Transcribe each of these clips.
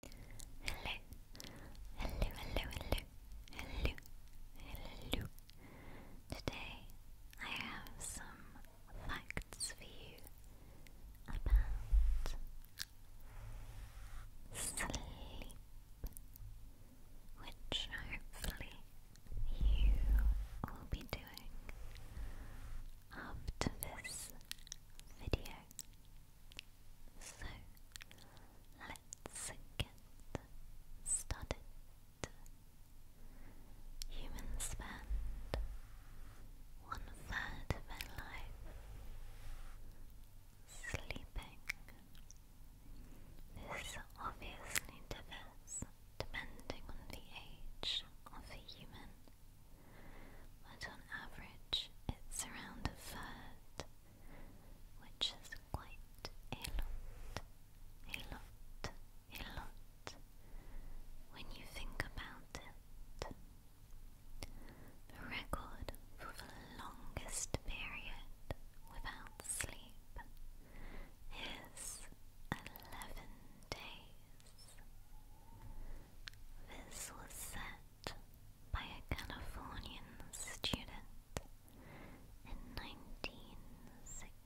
Hello, hello, hello, hello, hello, hello. Today I have some facts for you about sleep, which hopefully you will be doing after this video. So let's get started. Humans spend one third of their life sleeping. This obviously differs depending on the age of the human but on average it's around a third, which is quite a lot, a lot, a lot when you think about it. The record for the longest period without sleep is 11 days. This was set by a Californian student in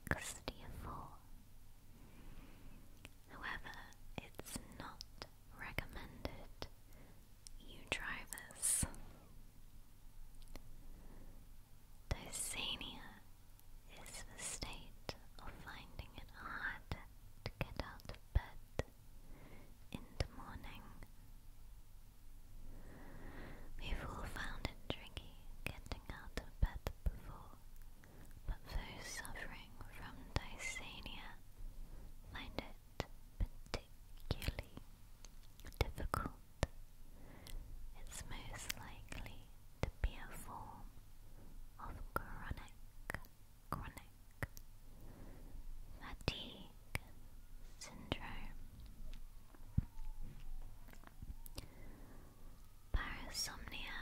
1964. However, it's not recommended you try Dysania is the state of finding it hard to get out of bed in the morning. We've all found it tricky getting out of bed before, but those suffering from dysania find it particularly difficult. It's most likely to be a form of chronic, chronic fatigue syndrome. Parasomnia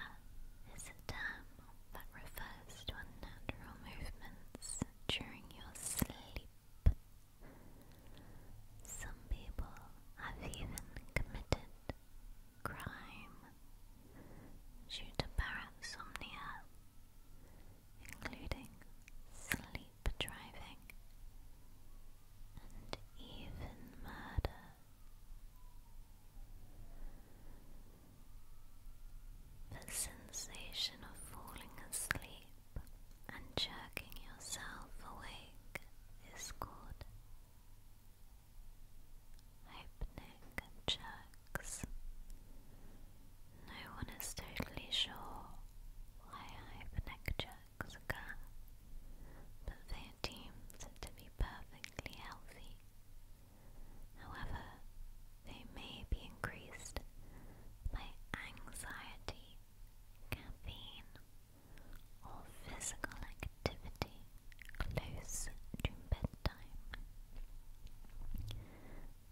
is a term that refers to unnatural movements during your sleep. Some people have even committed crime due to parasomnia, including sleep driving and even murder. The sensation of falling asleep and jerking yourself awake is called hypnic jerks. No one is totally sure why hypnic jerks occur, but they are deemed to be perfectly healthy. However, they may be increased by anxiety coffee, or physical activity close to bedtime.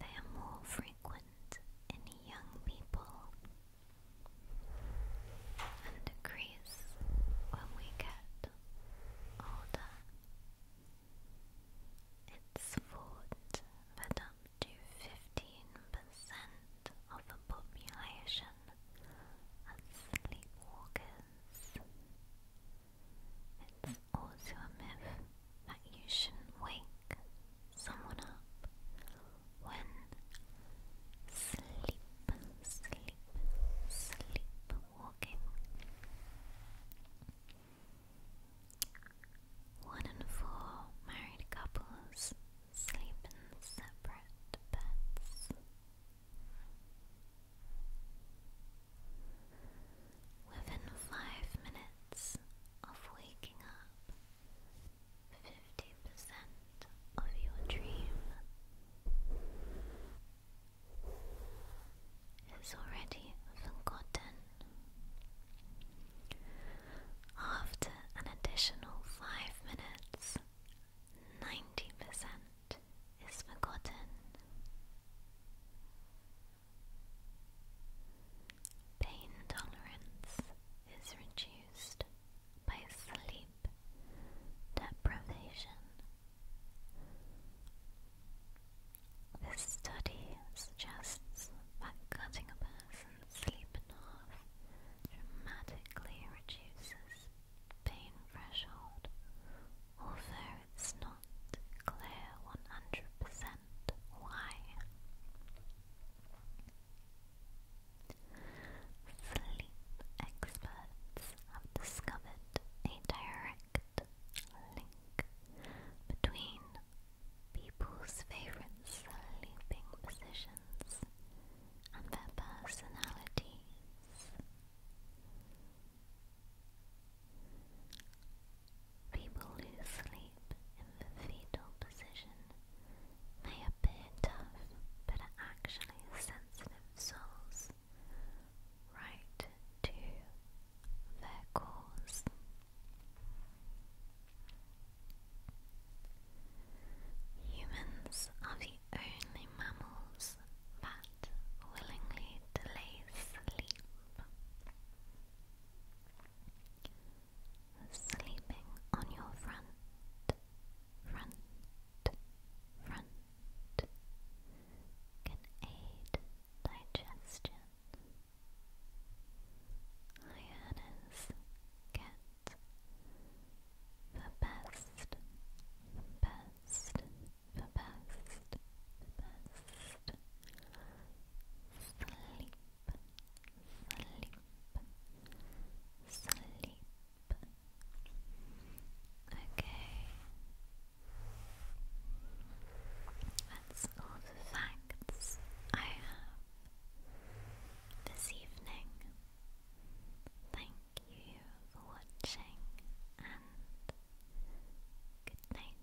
They are more frequent in young people and decrease when we get older. Its vote that up to 15% of the population are sleepwalkers. It's also a myth that you shouldn't wake someone up when sleep, sleep, sleepwalking. One in four married couples sleep in separate beds. Within five minutes of waking up, 50% of your dream is already forgotten. After an additional five minutes, 90% is forgotten. Pain tolerance is reduced by sleep deprivation this study suggests that cutting a person's sleep in half dramatically reduces pain threshold, although it's not clear 100% why. Sleep experts have discovered a direct link between people's favorite sleeping positions and their personalities. People who sleep in the fetal position may appear tough, but are actually sensitive sensitive right to their cause. Humans are the only mammals that willingly delay sleep. Sleeping on your front front, front can aid digestion. Hyenas get the best, best, the best, best sleep, sleep. Okay. That's all the facts I have this evening. Thank you for watching and good night.